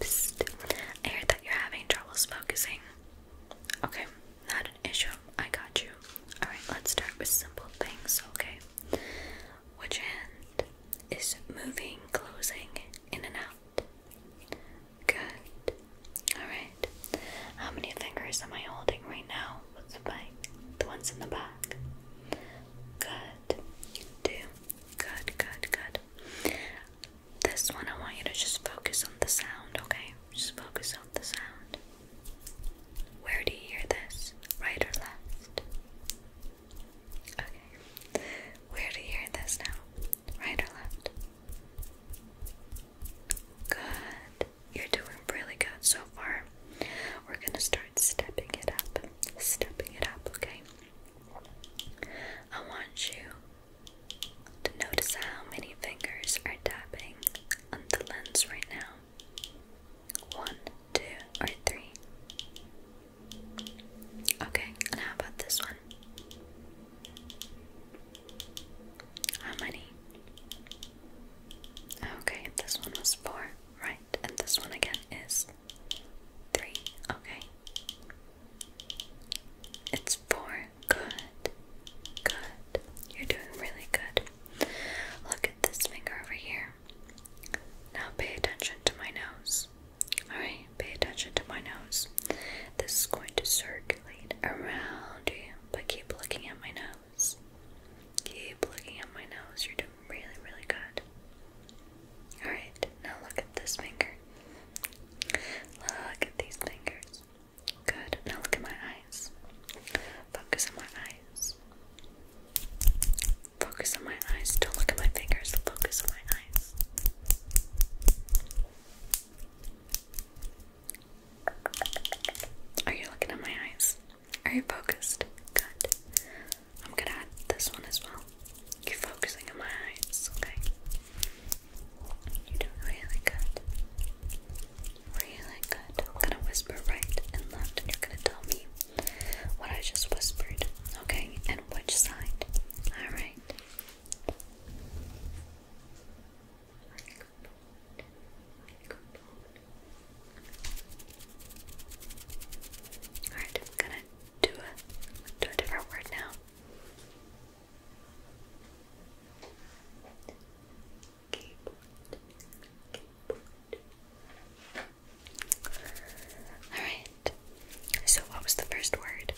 I heard that you're having trouble focusing. Okay, not an issue. I got you. Alright, let's start with simple things, okay? Which hand is moving, closing, in and out? Good. Alright. How many fingers am I holding right now? What's the bite? The ones in the back. Good. Two. Good, good, good this one, I want you to just focus on the sound, okay? Just focus on the sound. Where do you hear this? Right or left? Okay. Where do you hear this now? Right or left? Good. You're doing really good so far. We're going to start stepping it up. Stepping it up, okay? I want you notice how many fingers are tapping on the lens right now. One, two, or three. Okay, and how about this one? How many? Okay, this one was four, right? And this one again is three. Okay. It's for Good. Good. You're doing really good. Look at this finger over here. Now pay attention to my nose. Alright, pay attention to my nose. This is going to circulate around you, but keep looking at my nose. Keep looking at my nose. You're doing really, really good. Alright, now look at this finger. Look at these fingers. Good. Now look at my eyes. Focus on my eyes. Focus on my eyes. Don't look at my fingers. Focus on my eyes. Are you looking at my eyes? Are you focused? Good. I'm gonna add this one as well. You're focusing on my eyes, okay? You're really good. Really good. I'm gonna whisper right and left, and you're gonna tell me what I just whispered, okay? And which side. Alright. Alright, I'm gonna to a, to a different word now. Keyboard. Keyboard. Alright, so what was the first word?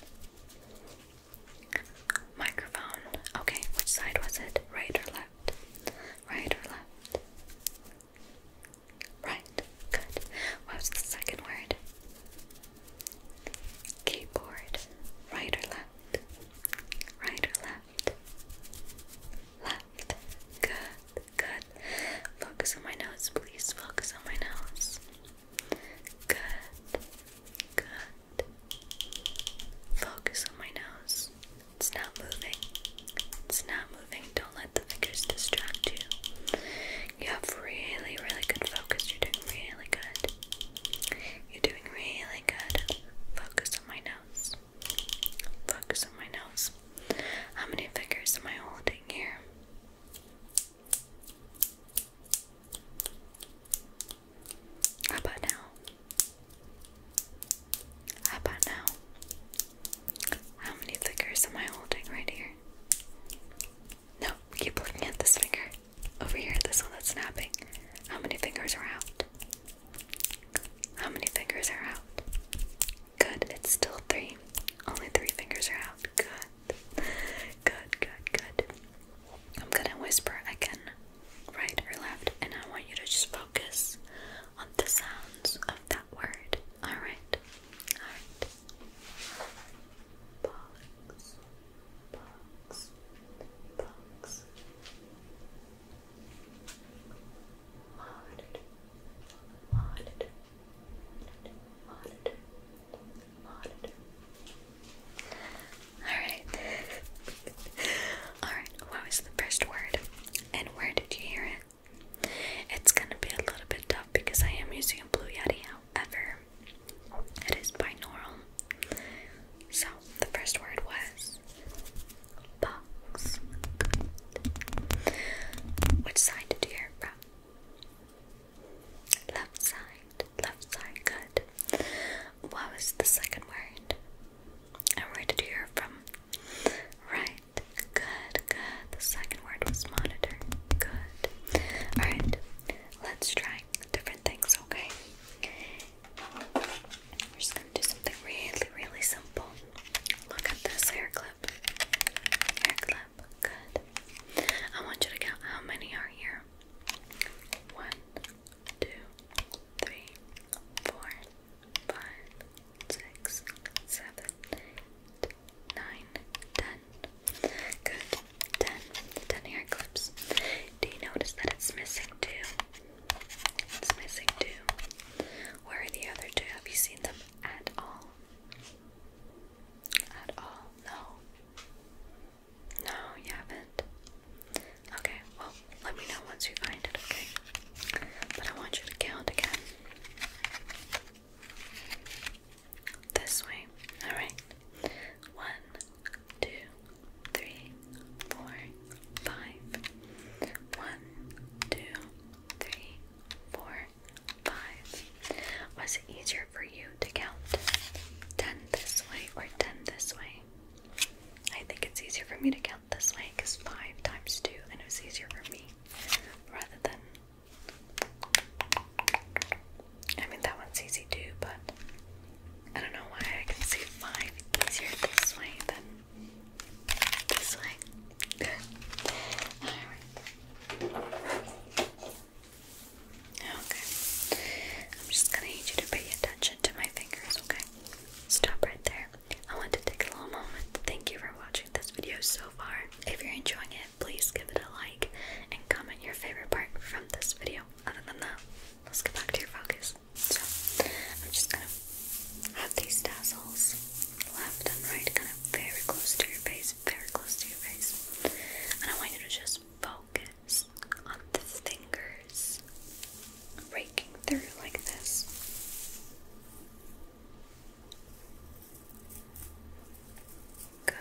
Microphone. Okay, which side was it? Right or left? Right or left? Right. Good. What was the second word? Keyboard, right or left? Right or left? Left. Good, good. Focus on my nose, please. Focus on my nose. Good, good. Focus on my nose. It's not moving. It's not moving. Don't let the fingers distract you. You have really, really good focus. You're doing really good. You're doing really good. Focus on my nose. Focus on my nose. How many fingers am I holding here? How about now? How about now? How many fingers am I holding right here? No, keep looking at this finger. Over here, this one that's snapping. How many fingers are out? How many fingers are out? Good, it's still three. Only three fingers are out. Good. Good, good, good. I'm gonna whisper again, right or left, and I want you to just focus on the sounds of that word. Alright? Alright box, box, box, monitor, monitor, monitor, monitor. Alright. Alright, what was the first word? And where did you hear it? It's gonna be a little bit tough because I am using a blue yeti, however, it is binaural. So the first word was box. Which side did you hear from? Left side. Left side. Good. What was the second word? And where did you hear from? Right. Good, good. The second word was monitor. Good. Alright, let's try different things, okay? We're just gonna do something really, really simple. Look at this hair clip. Hair clip, good. I want you to count how many are here. One, two, three, four, five, six, seven, eight, nine, ten. Good. Done. The clips. Do you notice that it's missing too? It's missing two. Where are the other two? Have you seen them at all? At all? No. No, you haven't. Okay, well, let me know once you find it, okay? But I want you to count again. This way. Alright. One, two, three, four, five. One, two, three, four, five. Was it easier for you to count ten this way or ten this way? I think it's easier for me to count this way because five times two, and it was easier for me rather than I mean, that one's easy too, but I don't know why I can see five easier this way than this way. Alright. Okay. I'm just gonna need you to pay attention to my fingers, okay? Stop right there. I want to take a little moment thank you for watching this video so far. If you're enjoying it please give it a like and comment your favorite part from this video. Other than that, let's get back to your focus. So, I'm just gonna have these tassels left and right, kind of very close to your face, very close to your face. And I want you to just focus on the fingers raking through like this. Good.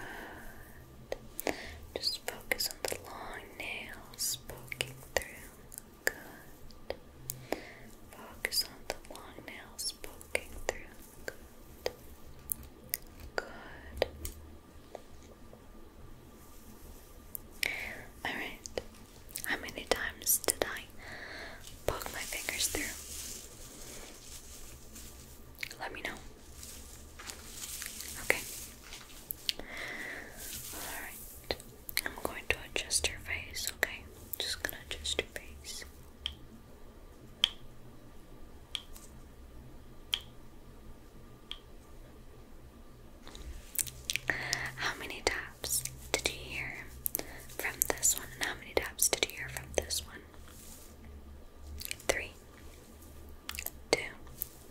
Just focus on the long nails poking through. Good. Focus on the long nails poking through. Good. Good. Alright. How many times did I poke my fingers through? Let me know. Okay. Alright. I'm going to adjust your face, okay? Just gonna adjust your face. How many taps did you hear from this one? And how many taps did you hear from this one? Three. Two.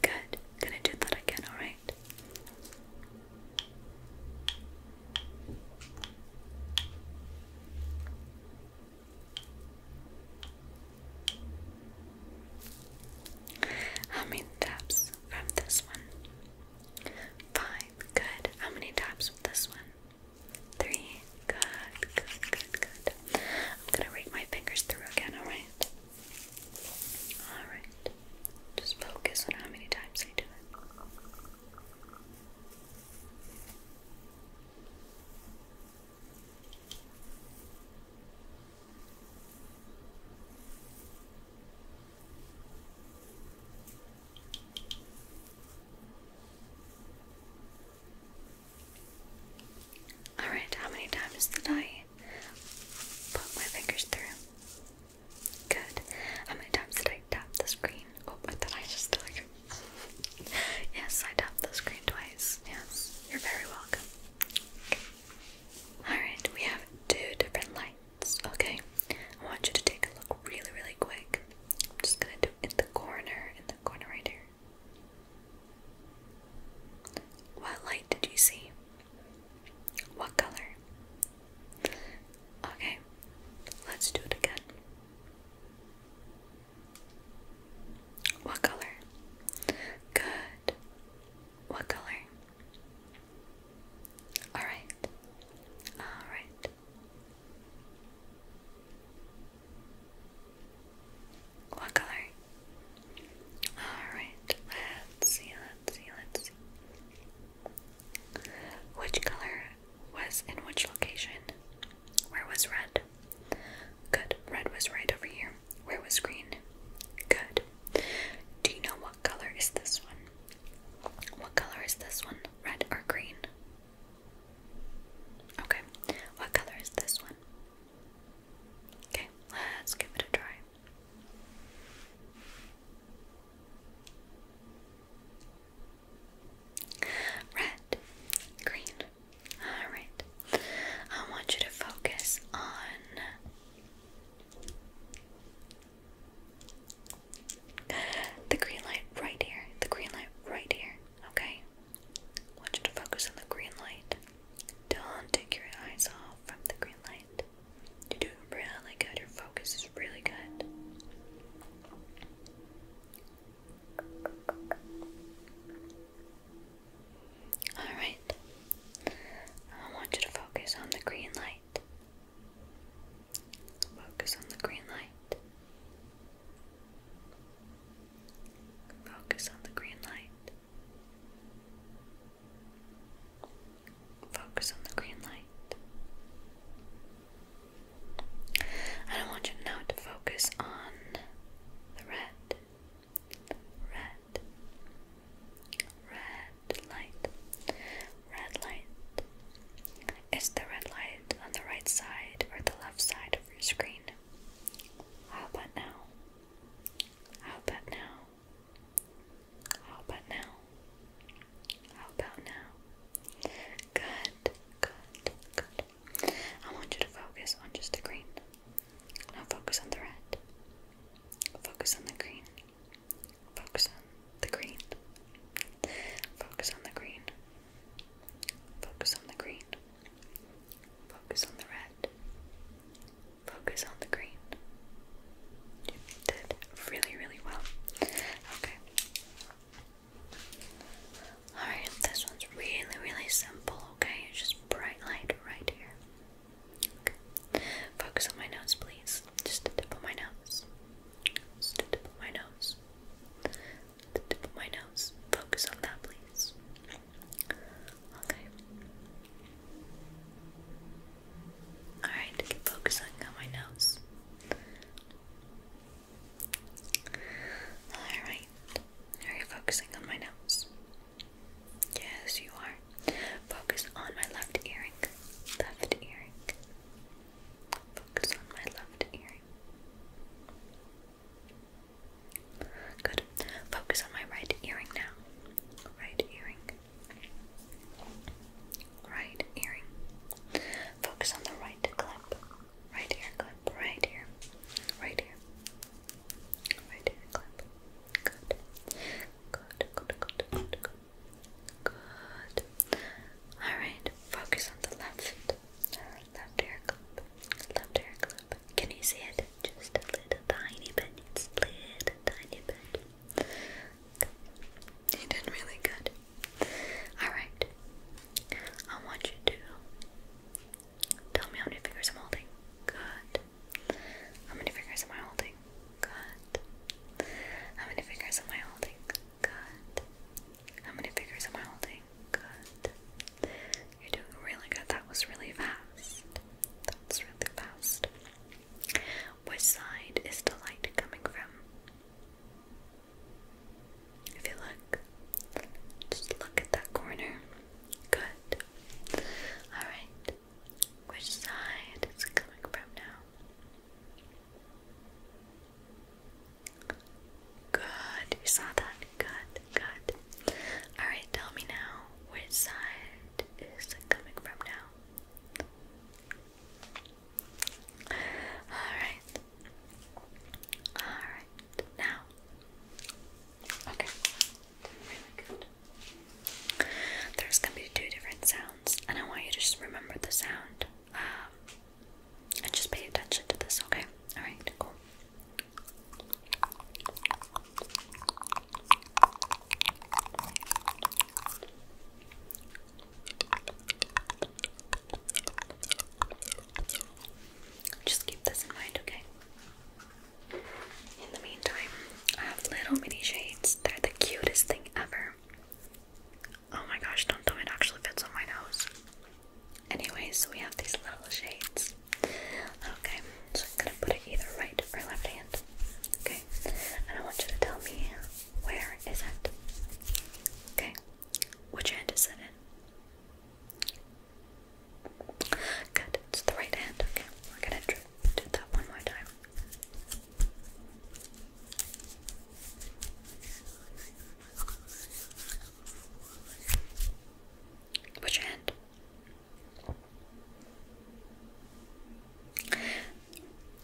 Good. Gonna do that again, alright? How many taps from this one? Five. Good. How many taps from this one? Three. Good, good, good, good. I'm gonna rake my fingers through again, alright? Alright. Just focus on how many times I do it. Alright, how many times did I put my fingers through? Good. How many times did I tap the screen? Oh, did I just like Yes, I tapped the screen twice. Yes, you're very welcome. Alright, we have two different lights, okay? I want you to take a look really, really quick. just gonna do it in the corner, in the corner right here. What light did you see? What color? Okay, let's do it again. What color? Good. What color? Alright. Alright. What color? Alright, let's see, let's see, let's see. Which color was in which location? Where was red? Good. Red was right over here. Where was green? Good. Do you know what color is this one? What color is this one? Red or green? Okay. What color is this one? Okay, let's give it a try. Red, green. Alright. I want you to focus on. The green light right here. The green light right here. Okay? I want you to focus on the green light. Don't take your eyes off from the green light. You're doing really good. Your focus is really good. Alright. I want you to focus on the green light. Focus on the green light. Focus on the green light. Focus on the green light. And I want you now to focus on the red, red, red light, red light. Is the red light on the right side or the left side of your screen? How about now? How about now? How about now? How about now? Good, good, good. I want you to focus on just the green. Now focus on the red. Focus on the green. Focus on the green. Focus on the green. Focus on the green. Focus on the red. Focus on the green. You did really, really well. Okay. Alright, this one's really, really simple, okay? It's just bright light right here. Focus on my nose, please. Just the tip of my nose. the tip of my nose. The tip of my nose. Focus on that, please. Okay. Alright, keep focusing on my nose. Alright. Are you focusing on my nose? Yes, you are. Focus on my left earring. Left earring. Focus on my left earring. Good. Focus on my right earring now. Right earring. Right earring. Focus on the right clip. Right ear clip. Right ear. Right ear. Right ear clip. Good. Good. Good. Good. Good. Good. All right. Focus on the left. Left ear clip. Left ear clip. Can you see it? Just a little tiny bit. It's a little tiny bit. You did really good. Alright. I want you to tell me how many fingers I'm holding. Good. How many fingers am I holding? Good. How many fingers am I holding? Good. How many fingers am I holding? Good. You're doing really good. That was really fast. That's really fast. Which side is the light coming from? If you look, just look at that corner. Good. Alright. Which side is coming from now? Good. You saw that? Good. Good. Alright, tell me now which side is coming from now. Alright. Alright. Now. Okay. Really good. There's gonna be two different sounds, and I want you to just remember the sound. Um, and just pay attention to this, okay? Alright, cool. Just keep this in mind, okay? In the meantime, I have little mini shades. They're the cutest thing ever. Oh my gosh, don't tell it actually fits on my nose. Anyways, so we have these little shades. Okay, so I'm gonna put it either right or left hand. Okay, and I want you to tell me where is it? Okay, which hand is it in? Good, it's the right hand. Okay, we're gonna do that one more time. Which hand?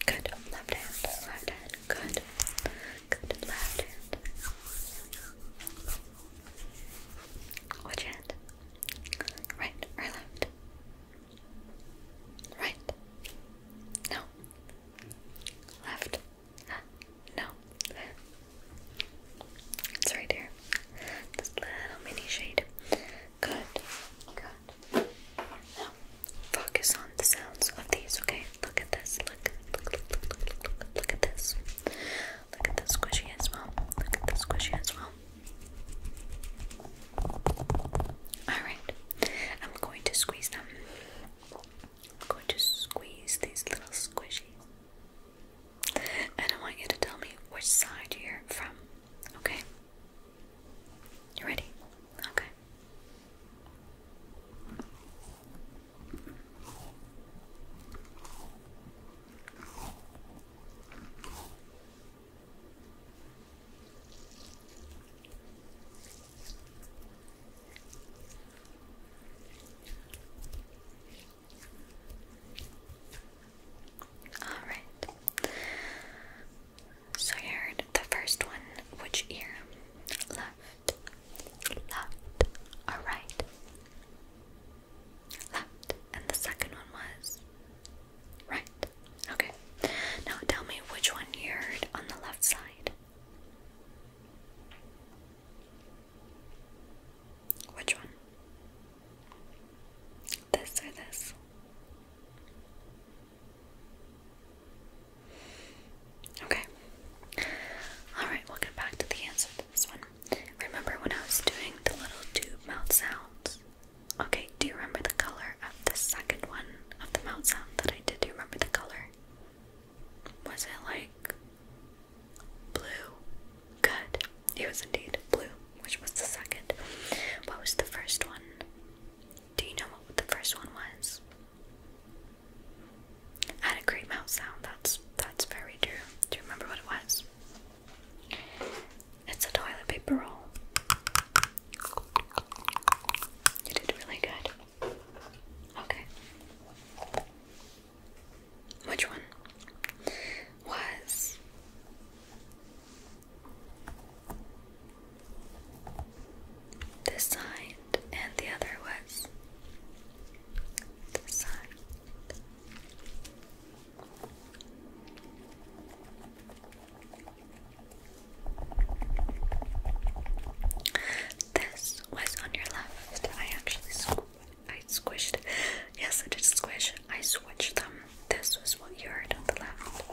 Good. Left hand. Left hand. Good. Good. Left hand. Which hand? Right or left? Right. No. Left. No. It's right there. This little mini shade. Good. Good. Now, focus on the sounds of these, okay? Look at this. Look, look, look, look, look, look, look at this. Look at the squishy as well. Look at the squishy as well. Alright. I'm going to squeeze them. I'm going to squeeze these little squishies. And I want you to tell me which side you're from. Okay. You ready? Okay. Alright. So I heard the first one. Which ear? Left, left, or Left. And the second one was right. Okay. Now tell me which one you heard on the left side. Which one? This or this? Okay. Alright, we back to the answer to this one. Remember when I was doing the little tube mouth sounds? Okay, do you remember the color of the second one of the mouth sound that I did? Do you remember the color? Was it like blue? Good. It was indeed blue, which was the second. What was the first one? Do you know what the first one was? had a great mouth sound. That's that's very true. Do you remember what it was? It's a toilet paper roll. You did really good. Okay. Which one was this side and the other was this side. This was on your left. I actually squished. Yes, I did squish. I switched them. This was what you heard on the left.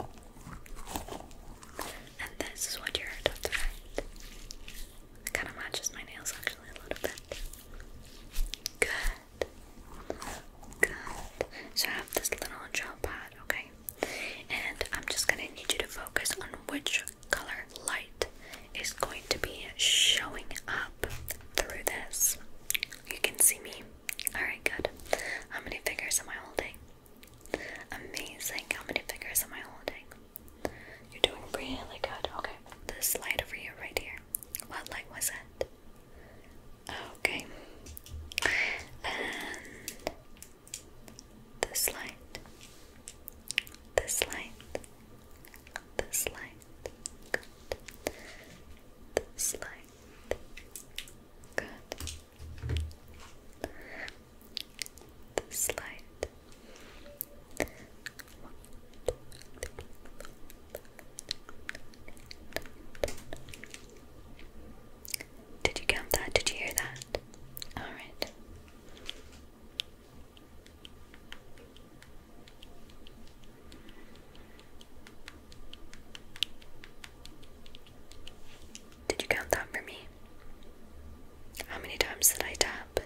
And this is what you heard on the right. Kind of matches my nails actually a little bit. Good. Good. So I have this little gel pad, okay? And I'm just gonna need you to focus on which color light is going to be showing up through this. You can see me. Alright, good. How many fingers am I holding? Amazing. How many fingers am I holding? You're doing really good. Okay. This light over here, right here. What light was it? Okay. And this light. This light. This light. Good. This light. Good. This light. Did you count that? Did you hear that? All right. Did you count that for me? How many times did I tap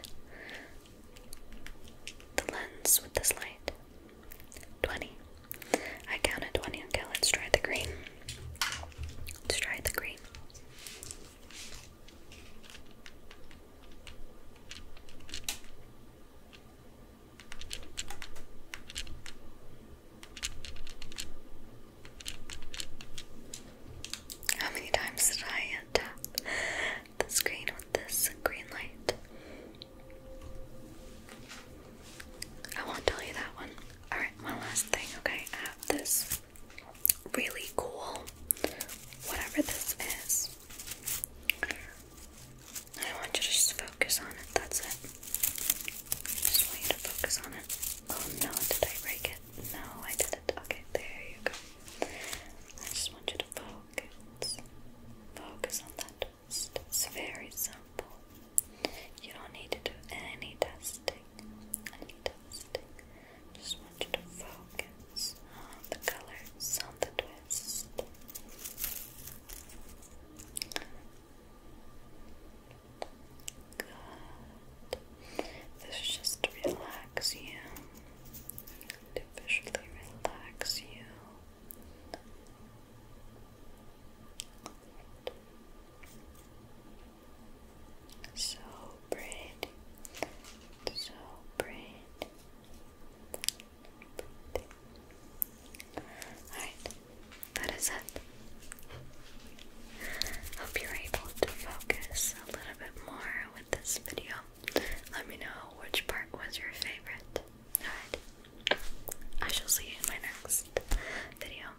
the lens with this light? 20. I counted 20. Okay, let's try the green. Let's try the green. How many times did I tap the screen with this green light? I won't tell you that one. Alright, one last thing, okay? I have this really cool, whatever this is. I want you to just focus on it. That's it. I just want you to focus on it. Oh no, did I break it? No, I didn't. Okay, there you go. I just want you to focus. Focus on that twist. It's very simple. You don't need to do any testing. Any testing. Just want you to focus on the colors, on the twist. Good. This just to you. To relax you. So pretty. So pretty. Alright, that is it. Hope you're able to focus a little bit more with this video. Let me know which part was your favorite. Alright, I shall see you in my next video.